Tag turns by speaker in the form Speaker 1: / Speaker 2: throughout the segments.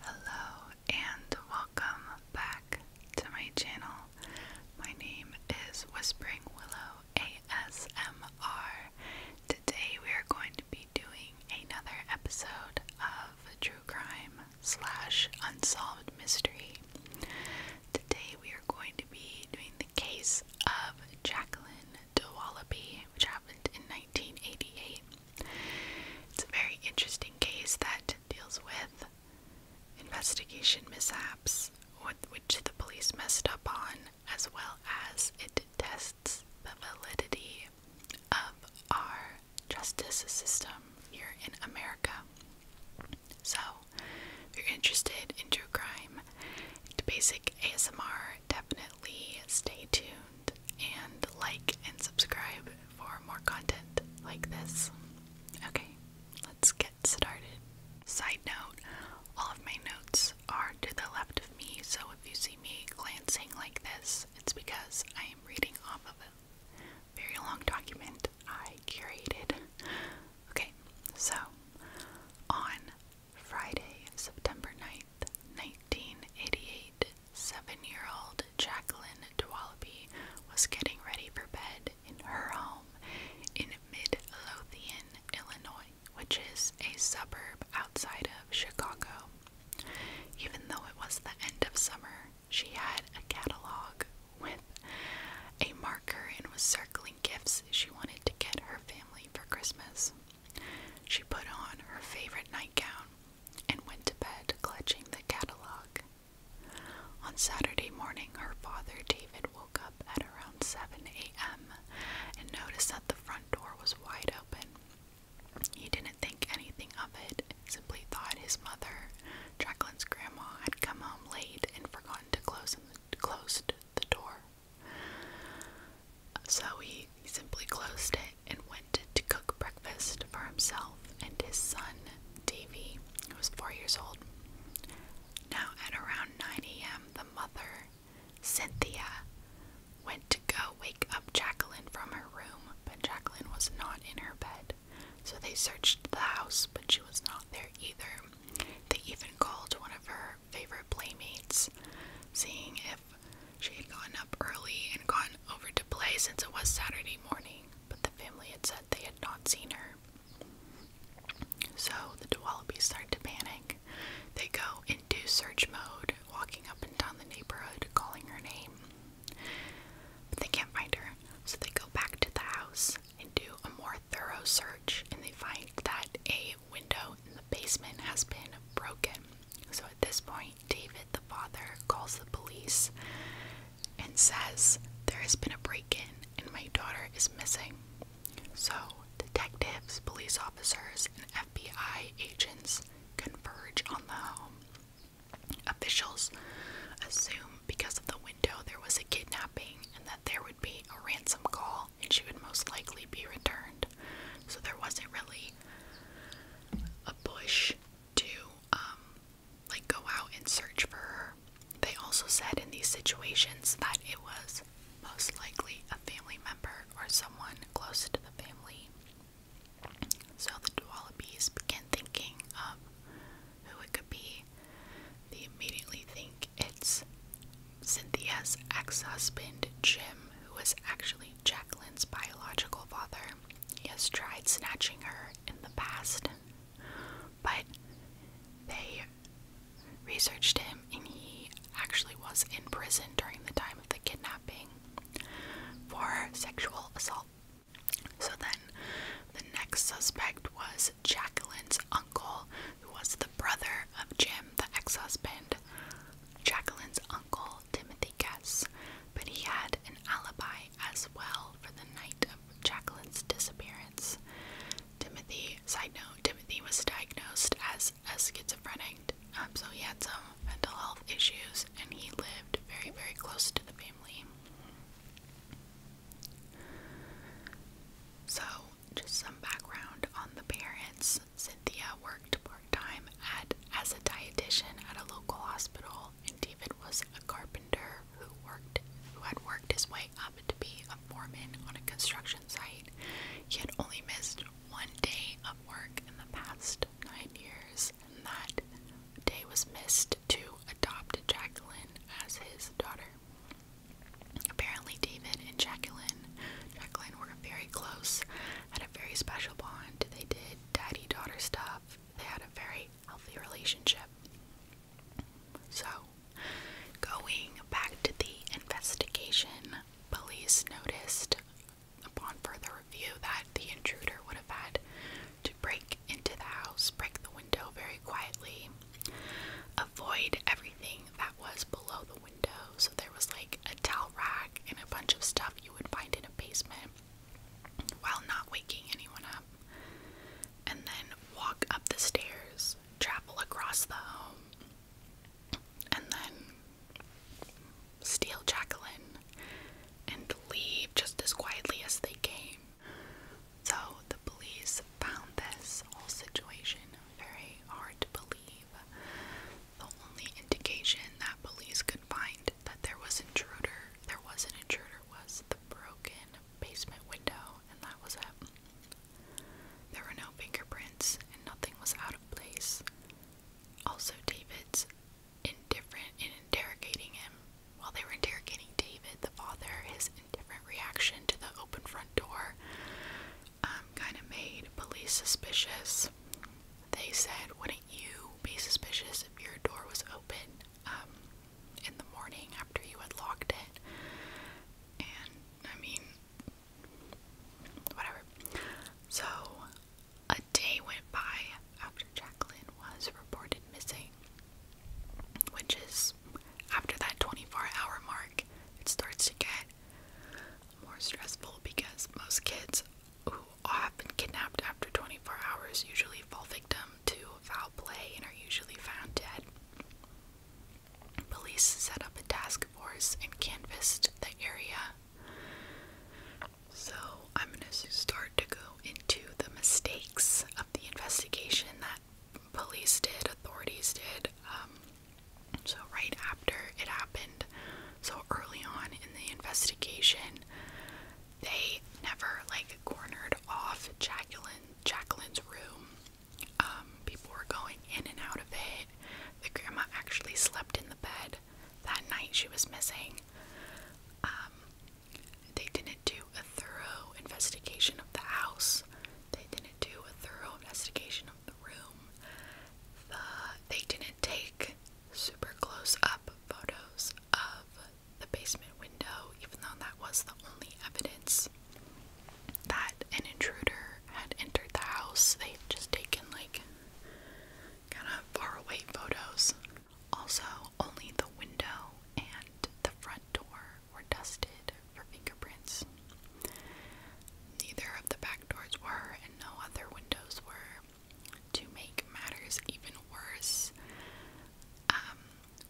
Speaker 1: Hello and welcome back to my channel. My name is Whispering Willow ASMR. Today we are going to be doing another episode of True Crime slash Unsolved Mystery. Today we are going to be doing the case of Jacqueline Dowallaby, which happened in 1988. It's a very interesting case that deals with investigation mishaps, which the police messed up on, as well as it tests the validity of our justice system here in America. So, if you're interested in true crime, basic ASMR definitely stay tuned and like and subscribe for more content like this. Okay, let's get started. Side note all of my notes are to the left of me, so if you see me glancing like this, it's because I am reading off of a very long document I curated. Okay, so on Friday, September 9th, 1988, seven-year-old Jacqueline Dwalaby was getting ready for bed in her home in Midlothian, Illinois, which is a suburb outside of Chicago. Even though it was the end of summer, she had a catalog with a marker and was circling gifts she wanted to get her family for Christmas. She put on her favorite nightgown and went to bed clutching the catalog. On Saturday morning, her father David woke up at around 7 a.m. and noticed that the front door was wide open. He didn't think anything of it, simply thought his mother, Jacqueline's grandma, had come home late and forgotten to close, the, closed the door. So he simply closed it and went to cook breakfast for himself and his son, Davy, who was four years old. Now, at around 9 a.m., the mother, Cynthia, went to go wake up Jacqueline from her room, but Jacqueline was not in her bed. So they searched the house, but she was not there either. They even called one of her her favorite playmates, seeing if she had gotten up early and gone over to play since it was Saturday morning, but the family had said they had not seen her. So the Dewalabys start to panic. They go into search mode, walking up and down the neighborhood, calling her name. But they can't find her, so they go back to the house and do a more thorough search and they find that a window in the basement has been broken. So at this point, David, the father, calls the police and says, There has been a break in and my daughter is missing. So detectives, police officers, and FBI agents converge on the home. Officials assume because of the window there was a kidnapping and that there would be a ransom call and she would most likely be returned. So there wasn't really a push to um like go out and search for her. They also said in these situations that it was most likely a family member or someone close to the family. So the Wallabies began thinking of who it could be they immediately think it's Cynthia's ex husband, Jim, who was actually Jacqueline's biological father. He has tried snatching her in the past, but they researched him and he actually was in prison during the time of the kidnapping for sexual assault. So then the next suspect was Jacqueline's uncle, who was the brother of Jim, the ex husband. Jacqueline's uncle, Timothy Guess, but he had an alibi as well for the night of Jacqueline's disappearance. Timothy, side note, Timothy was diagnosed as a schizophrenic, um, so he had some mental health issues and he lived very, very close to the family. So, just some background on the parents. Cynthia worked part-time at as a dietitian at a local hospital and David was a carpenter who worked who had worked his way up to be a foreman on a construction site. He had only missed one day of work in the past nine years, and that day was missed to adopt Jacqueline as his daughter. Apparently, David and Jacqueline, Jacqueline were very close, had a very special bond. They did daddy-daughter stuff. They had a very healthy relationship. So, going back to the investigation, police noticed upon further review that the intruder would have had to break into the house, break the window very quietly, avoid everything that was below the window. So there was like a towel rack and a bunch of stuff you would find in a basement while not waking anyone up. And then walk up the stairs, travel across the home, and then steal Jacqueline and leave just as quietly as they came. So the police found this whole situation very hard to believe. The only indication that police could find that there was intruder, there was an intruder, was the broken basement window, and that was it. There were no fingerprints, and nothing was out of place. Also, David's indifferent in interrogating him while they were interrogating David, the father, his indifferent reaction to the open front door um, kind of made police suspicious. They said, Wouldn't you be suspicious if your door was open um, in the morning after you had locked it? And I mean, whatever. So, a day went by after Jacqueline was reported missing which is after that 24 hour mark, it starts to get more stressful because most kids who have been kidnapped after 24 hours usually fall victim to foul play and are usually found dead. Police set up a task force and canvassed the area. So, I'm going to start to go into the mistakes of the investigation that police did, authorities did, um, so right after it happened, so early on in the investigation, they never like cornered off Jacqueline Jacqueline's room. Um, people were going in and out of it. The grandma actually slept in the bed that night she was missing. Um, they didn't do a thorough investigation of the house. They didn't do a thorough investigation of the room. The, they didn't take super close up photos of the basement window, even though that was the only evidence that an intruder had entered the house. They had just taken, like, kind of far away photos. Also, only the window and the front door were dusted for fingerprints. Neither of the back doors were, and no other windows were. To make matters even worse, um,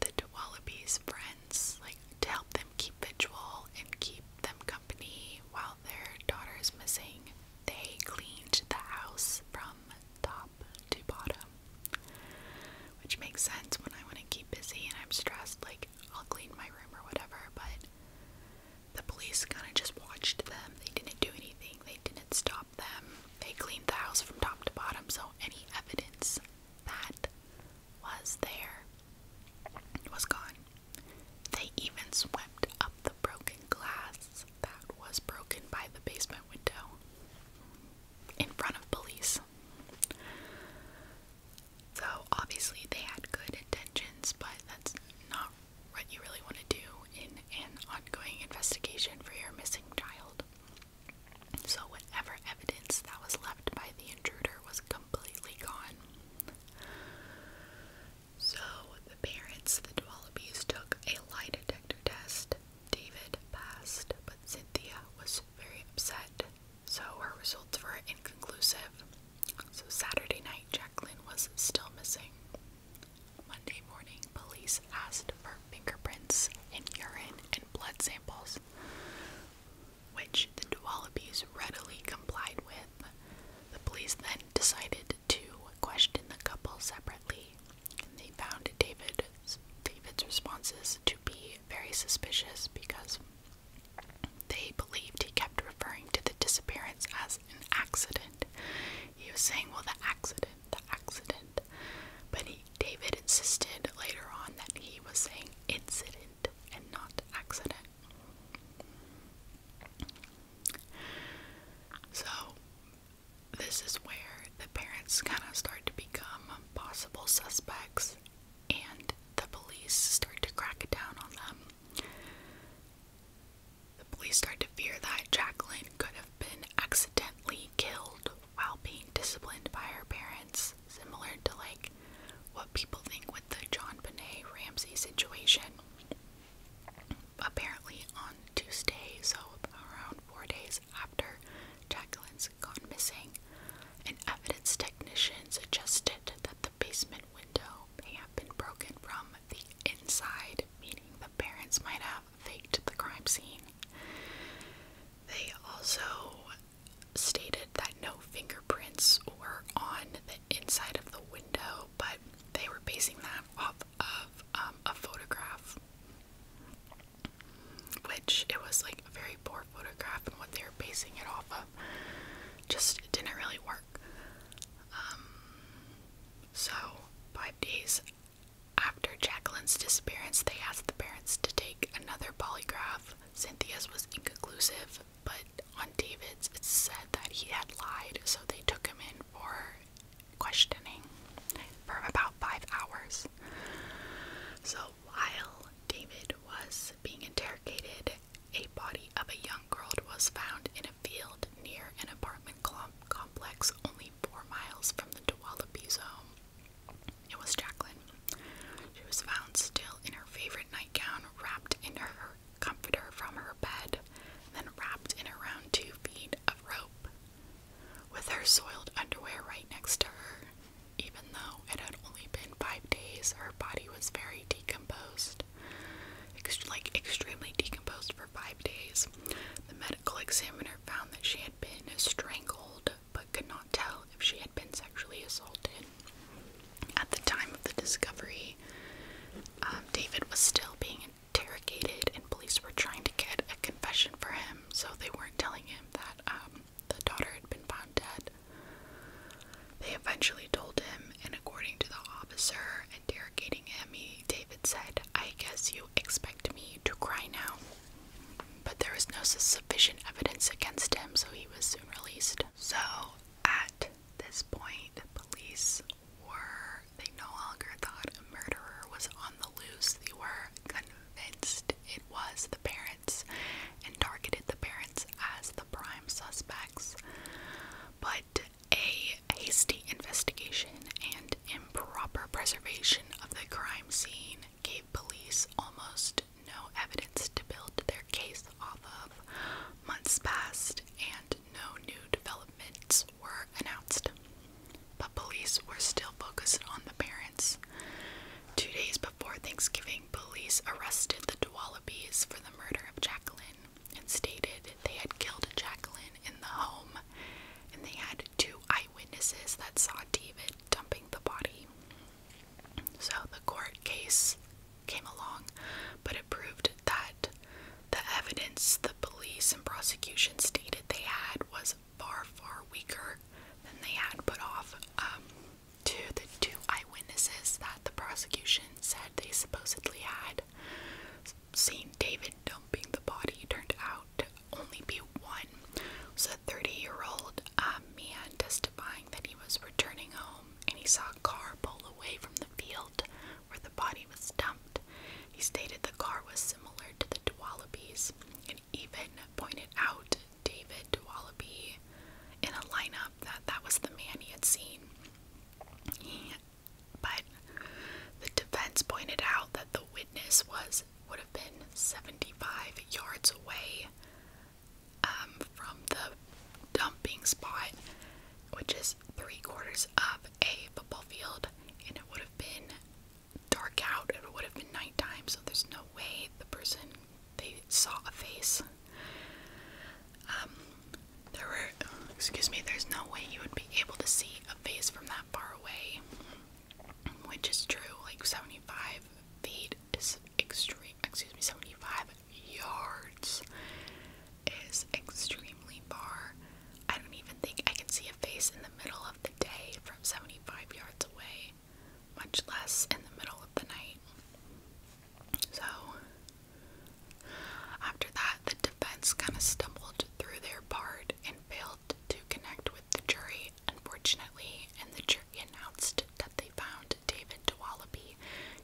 Speaker 1: the Dwalabi's friends, like to help them keep vigil and keep them company while their daughter is missing, they cleaned the house from top to bottom. Which makes sense when I want to keep busy and I'm stressed, like I'll clean my room or whatever, but the police kind of just watched them. They didn't do anything, they didn't stop them. They cleaned the house from top to bottom, so any evidence that was there was gone. They even swept up the broken glass that was broken by the basement window in front of police. So obviously they had good intentions, but that's not what you really want to do in an ongoing investigation for your missing child. So whatever evidence that was left by the intruder was completely gone. So the parents, the Dwallabys, took a lie detector test David passed, but Cynthia was very upset, so her results were inconclusive. So Saturday night, Jacqueline was still missing. Monday morning, police asked for fingerprints and urine and blood samples, which the Dualibes readily complied with. The police then decided to question the couple separately. They found David David's responses to be very suspicious because they believed he kept referring to the disappearance as an accident. He was saying, "Well, the accident, the accident," but he, David insisted later on that he was saying incident and not accident. So this is where the parents kind of start to become possible suspects and the police start to crack down on them. The police start to fear that Jacqueline could have been accidentally killed while being disciplined by her parents, similar to like what people think with the John Benet Ramsey situation. Apparently on Tuesday, so around four days after Jacqueline's gone missing, an evidence technician suggested that the basement window may have been broken from the inside, meaning the parents might have faked the crime scene. They also stated that no fingerprints were on the inside of the window, but they were basing that off of um, a photograph which it was like a very poor photograph and what they were basing it off of just didn't really work. Um, so, five days after Jacqueline's disappearance, they asked the parents to take another polygraph. Cynthia's was inconclusive, but on David's, it said that he had lied, so they took him in for questioning for about five hours. So while David was being interrogated, a body of a young girl was found in a field near an apartment complex only four miles from the Douala home. It was Jacqueline. She was found still in her favorite nightgown, wrapped in her comforter from her bed, then wrapped in around two feet of rope with her soiled underwear right next to her. Even though it had only been five days, her body was very decomposed. like, extremely decomposed for five days. The medical examiner found that she had been strangled, but could not tell if she had been sexually assaulted. At the time of the discovery, um, David was still being interrogated, and police were trying to get a confession for him, so they weren't telling him that um, the daughter had been found dead. They eventually told him, and according to the officer interrogating him, David said, I guess you expect me to cry now. But there was no sufficient evidence against him, so he was soon released. So, at this point, police were, they no longer thought a murderer was on the loose. They were convinced it was the parents and targeted the parents as the prime suspects. But a hasty investigation and improper preservation of the crime scene gave police almost no evidence to build their case off of. Months passed and no new development were announced, but police were still focused on the parents. Two days before Thanksgiving, police arrested the Dwallabys for the murder of Jacqueline and stated they had killed Jacqueline in the home, and they had two eyewitnesses that saw David dumping the body. So the court case came along, but proved that the evidence the police and prosecution stated they had was far, far weaker than they had put off um, to the two eyewitnesses that the prosecution said they supposedly had seen David dumping the body turned out to only be one. It was a 30-year-old um, man testifying that he was returning home and he saw a car pull away from the field where the body he was dumped. He stated the car was similar to the Dwallabys and even pointed out David Dwallaby in a lineup that that was the man he had seen. but the defense pointed out that the witness was would have been 75 yards away um, from the dumping spot, which is three quarters of a football field, and it would have been dark out. It would have been nighttime, so there's no way the person they saw a face. Um, there were, excuse me, there's no way you would be able to see a face from that far away, which is true. Like 75 feet is extreme. Excuse me, 75 yards is extremely far. I don't even think I can see a face in the middle of the day from 75 yards away, much less in the middle of the night. So, after that, the defense kind of stumbled through their part and failed to connect with the jury, unfortunately, and the jury announced that they found David Dwalaby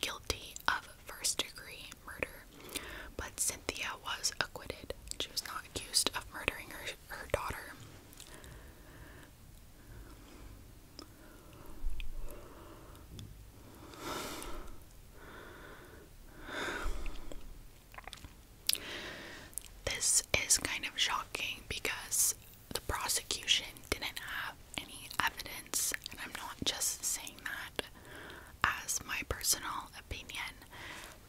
Speaker 1: guilty of first degree murder, but Cynthia was acquitted. She was not accused of murdering her, her daughter. This is kind of shocking because the prosecution didn't have any evidence, and I'm not just saying that as my personal opinion,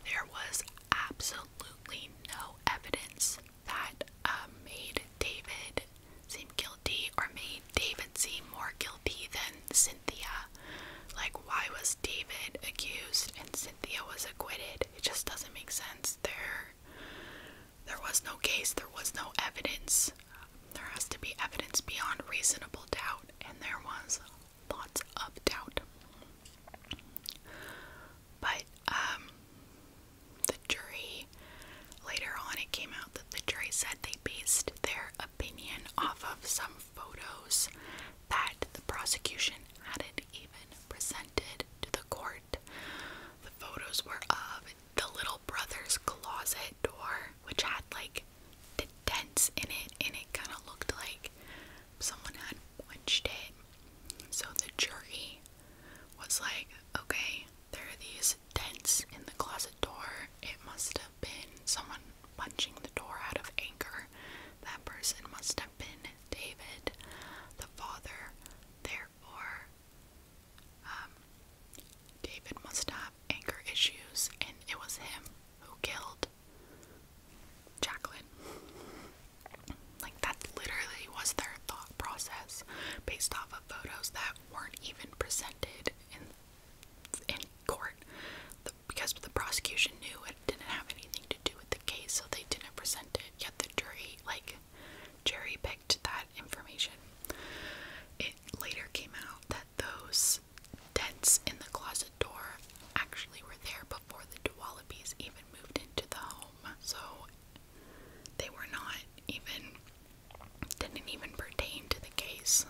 Speaker 1: there was absolutely no evidence that uh, made David seem guilty or made David seem more guilty than Cynthia. Like, why was David accused and Cynthia was acquitted? It just doesn't make sense. There, there was no case. There was no evidence there has to be evidence beyond reasonable doubt, and there was lots of doubt. But um, the jury, later on, it came out that the jury said they based their opinion off of some photos that the prosecution hadn't even presented to the court. The photos were of the little brother's closet door, which had like the dents in it, and it kind of looked like someone had punched it. So the jury was like, okay, there are these dents in the closet door. It must have been someone punching the door out of anger. That person must have been David, the father. Therefore, um, David must have anger issues, and it was him who killed Jacqueline. Like, that literally was their thought process based off of photos that weren't even presented in, in court because the prosecution knew it didn't have anything to do with the case, so they didn't present it. Yet the jury, like, Jerry picked that information. It later came out that those dents in the closet door actually were there before the Dualibes even moved into the home, so they were not even, didn't even pertain to the case.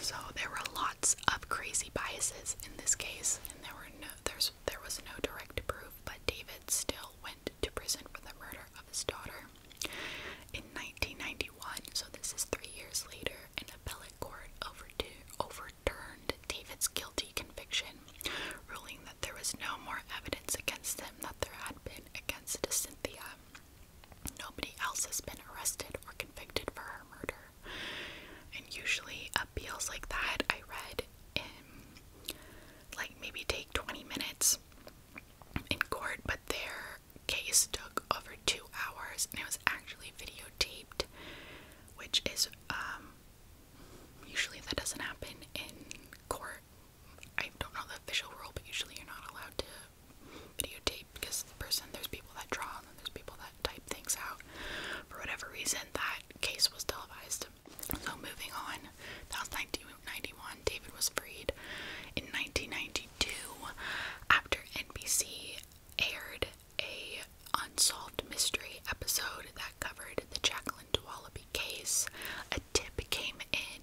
Speaker 1: So there were lots of crazy biases in this case, and there were no, there's, there was no direct proof, but David still went to prison for the murder of his daughter. In 1991, so this is three years later, an appellate court overturned David's guilty conviction, ruling that there was no more evidence against him that there had been against Cynthia. Nobody else has been arrested or convicted for her murder. And usually, appeals like that I read in um, like maybe take 20 minutes was in court, but their case took over two hours and it was actually videotaped, which is um, usually that doesn't happen in court. I don't know the official rule, but usually you're not allowed to videotape because the person there's people that draw and then there's people that type things out. For whatever reason, that case was televised so moving on, that was 1991. David was freed in 1992 after NBC aired a unsolved mystery episode that covered the Jacqueline Dualaby case. A tip came in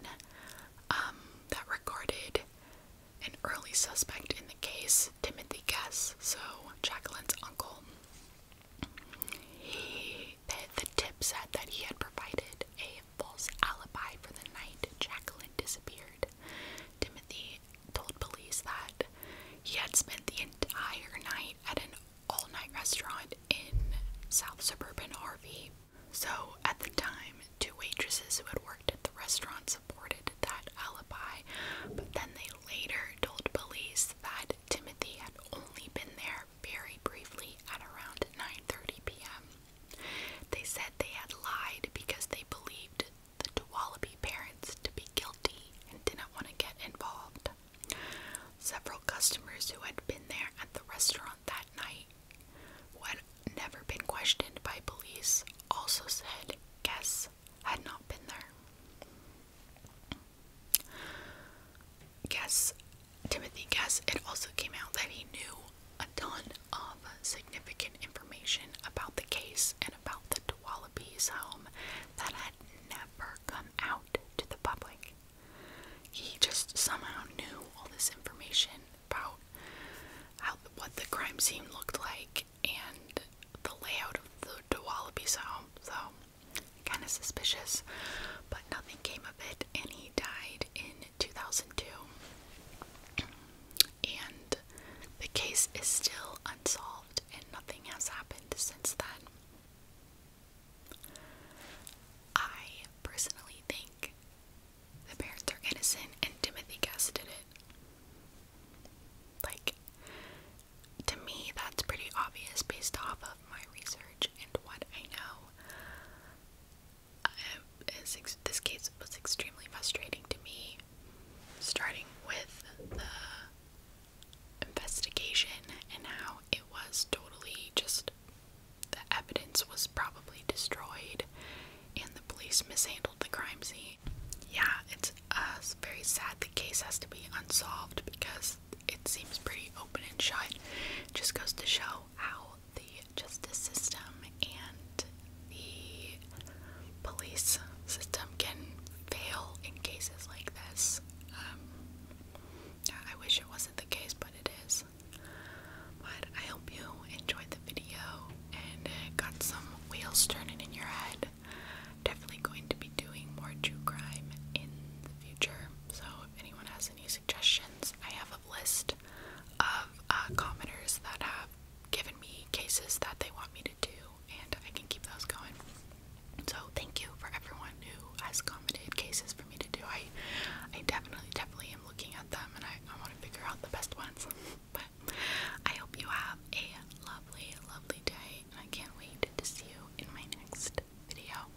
Speaker 1: um, that recorded an early suspect in the case, Timothy Guess, so Jacqueline's uncle. He, the, tip said that he had provided a false alibi for the night Jacqueline disappeared. Timothy told police that he had spent the entire night at an all night restaurant in South Suburban RV. So, at the time, two waitresses who had worked at the restaurant supported that alibi, but then they later told police that Timothy had only been there very briefly at around 9:30 p.m. They said they had lied because they believed the Tuwalabi parents to be guilty and didn't want to get involved. Several customers who had been there at the restaurant that night, who had never been questioned by police, also said guests had not been there. Guess Timothy Guess it also came out that he knew a ton of significant information about the case and about the Tuolumne's home that had never come out to the public. He just somehow knew all this information about how what the crime scene looked like and the layout of the Tuolumne's home. So Kind of suspicious, but nothing came of it, and he died in 2002. And the case is still unsolved, and nothing has happened since then. I personally think the parents are innocent, and Timothy Guest did it. Like, to me, that's pretty obvious based off of my research and what I know. Um, this case was extremely frustrating to me, starting with the investigation and how it was totally just the evidence was probably destroyed and the police mishandled the crime scene. Yeah, it's uh, very sad the case has to be unsolved because it seems pretty open and shut. just goes to show how the justice system and the police system can fail in cases like this. Um, I wish it wasn't the case, but it is. But I hope you enjoyed the video and got some wheels turning in your head episode. Definitely going to be doing more true crime in the future. So if anyone has any suggestions, I have a list of uh, commenters that have given me cases that they want me to do, and I can keep those going. So thank you for everyone who has commented cases for me to do. I, I definitely, definitely am looking at them, and I, I want to figure out the best ones. but I hope you have a lovely, lovely day, I can't wait to see you in my next video.